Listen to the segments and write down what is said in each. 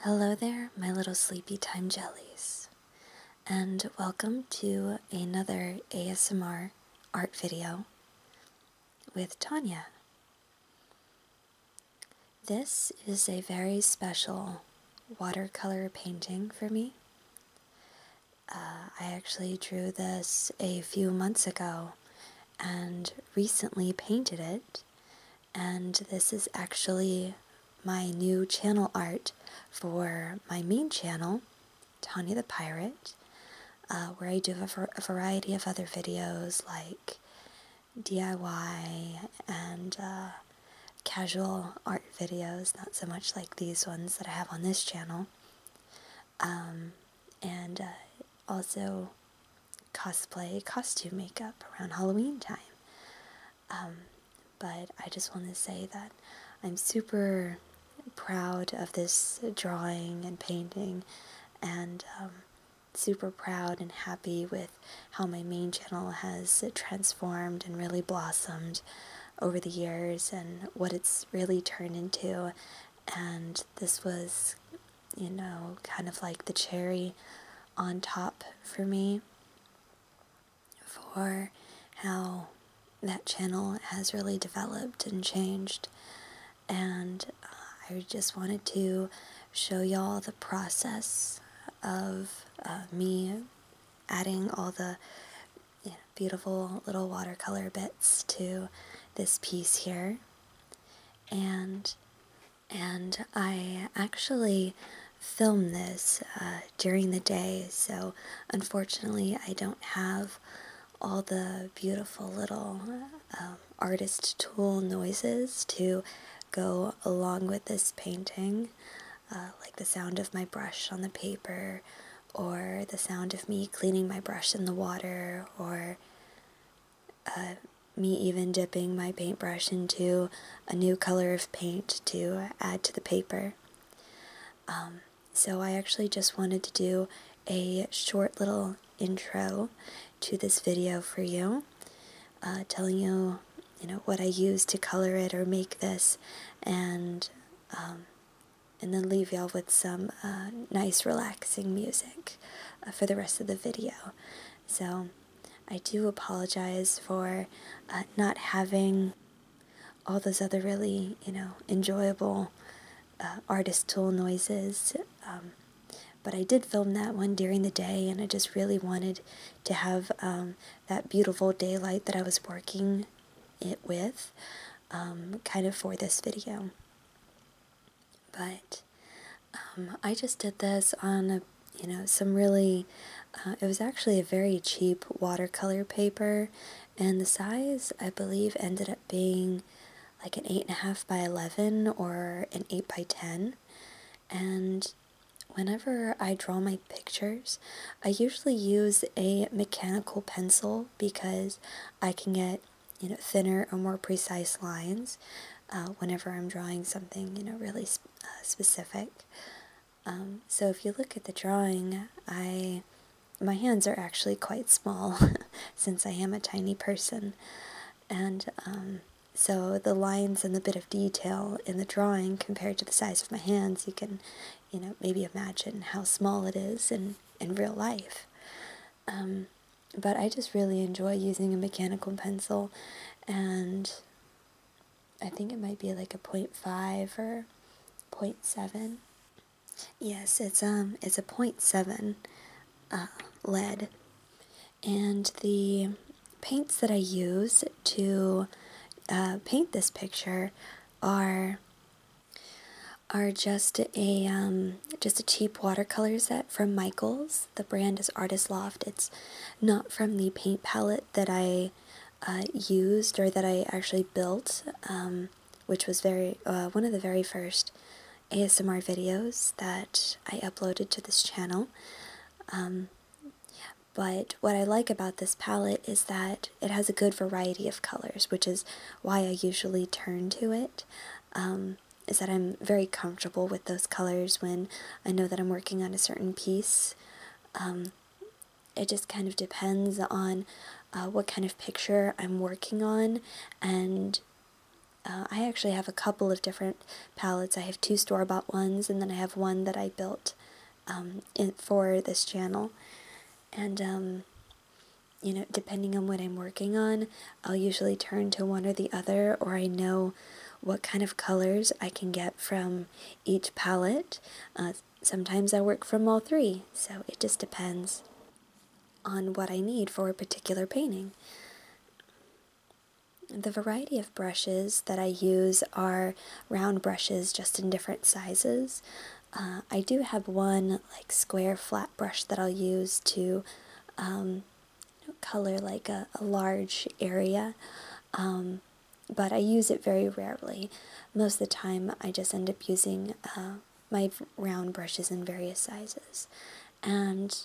Hello there, my little sleepy time jellies, and welcome to another ASMR art video with Tanya. This is a very special watercolor painting for me, uh, I actually drew this a few months ago and recently painted it, and this is actually my new channel art for my main channel, Tanya the Pirate, uh, where I do a, variety of other videos like DIY and uh, casual art videos, not so much like these ones that I have on this channel um, and uh, also cosplay, costume makeup around Halloween time. Um, but I just want to say that I'm super proud of this drawing and painting and um, super proud and happy with how my main channel has transformed and really blossomed over the years and what it's really turned into and this was, you know, kind of like the cherry on top for me for how that channel has really developed and changed. And uh, I just wanted to show y'all the process of uh, me adding all the you know, beautiful little watercolor bits to this piece here. And, and I actually film this uh, during the day, so unfortunately I don't have all the beautiful little um, artist tool noises to go along with this painting, uh, like the sound of my brush on the paper or the sound of me cleaning my brush in the water, or uh, me even dipping my paintbrush into a new color of paint to add to the paper. Um, so I actually just wanted to do a short little intro to this video for you, uh, telling you, you know, what I use to color it or make this, and um, and then leave y'all with some uh, nice relaxing music uh, for the rest of the video. So I do apologize for uh, not having all those other really, you know, enjoyable artist tool noises. Um, but I did film that one during the day and I just really wanted to have um, that beautiful daylight that I was working it with um, kind of for this video. But um, I just did this on a you know some really uh, it was actually a very cheap watercolor paper and the size I believe ended up being like an eight and a half by 11 or an eight by 10 and whenever I draw my pictures I usually use a mechanical pencil because I can get you know, thinner or more precise lines uh, whenever I'm drawing something, you know, really uh, specific. Um, so if you look at the drawing, I, my hands are actually quite small since I am a tiny person. And um, so the lines and the bit of detail in the drawing compared to the size of my hands, you can you know, maybe imagine how small it is in, in real life. Um, but I just really enjoy using a mechanical pencil, and I think it might be like a point five or point seven. Yes, it's um, it's a point seven, uh, lead, and the paints that I use to uh, paint this picture are are just a um, just a cheap watercolor set from Michaels. The brand is Artist Loft. It's not from the paint palette that I uh, used or that I actually built, um, which was very uh, one of the very first ASMR videos that I uploaded to this channel. Um, but what I like about this palette is that it has a good variety of colors, which is why I usually turn to it. Um, is that I'm very comfortable with those colors when I know that I'm working on a certain piece. Um, it just kind of depends on uh, what kind of picture I'm working on and uh, I actually have a couple of different palettes. I have two store-bought ones and then I have one that I built um, in, for this channel and you know, depending on what I'm working on, I'll usually turn to one or the other, or I know what kind of colors I can get from each palette. Uh, sometimes I work from all three, so it just depends on what I need for a particular painting. The variety of brushes that I use are round brushes just in different sizes. Uh, I do have one like square flat brush that I'll use to um, color like a, large area, um, but I use it very rarely. Most of the time I just end up using uh, my round brushes in various sizes. And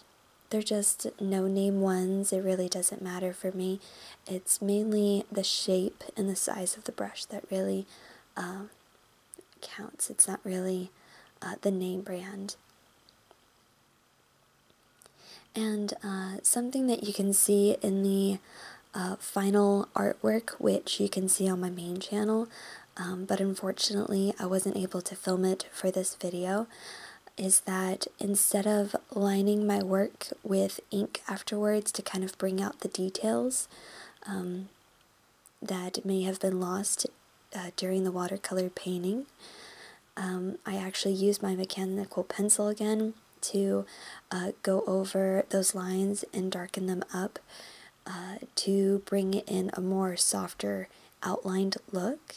they're just no name ones. It really doesn't matter for me. It's mainly the shape and the size of the brush that really uh, counts. It's not really uh, the name brand. And uh, something that you can see in the uh, final artwork, which you can see on my main channel, um, but unfortunately I wasn't able to film it for this video, is that instead of lining my work with ink afterwards to kind of bring out the details, um, that may have been lost uh, during the watercolor painting. Um, I actually used my mechanical pencil again to uh, go over those lines and darken them up uh, to bring in a more softer outlined look.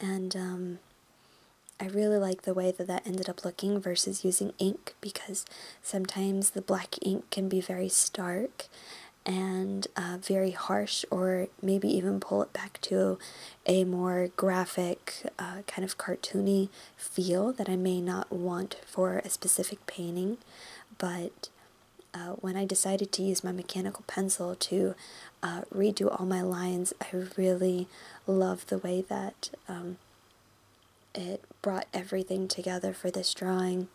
And um, I really like the way that that ended up looking versus using ink because sometimes the black ink can be very stark and uh, very harsh, or maybe even pull it back to a more graphic, uh, kind of cartoony feel that I may not want for a specific painting. But uh, when I decided to use my mechanical pencil to redo all my lines, I really loved the way that um, it brought everything together for this drawing.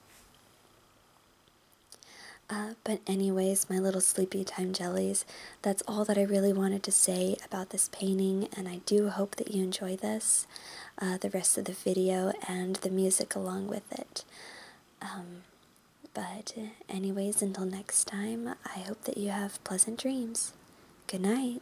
Uh, but anyways, my little sleepy time jellies, that's all that I really wanted to say about this painting, and I do hope that you enjoy this, uh, the rest of the video, and the music along with it. Um, but anyways, until next time, I hope that you have pleasant dreams. Good night.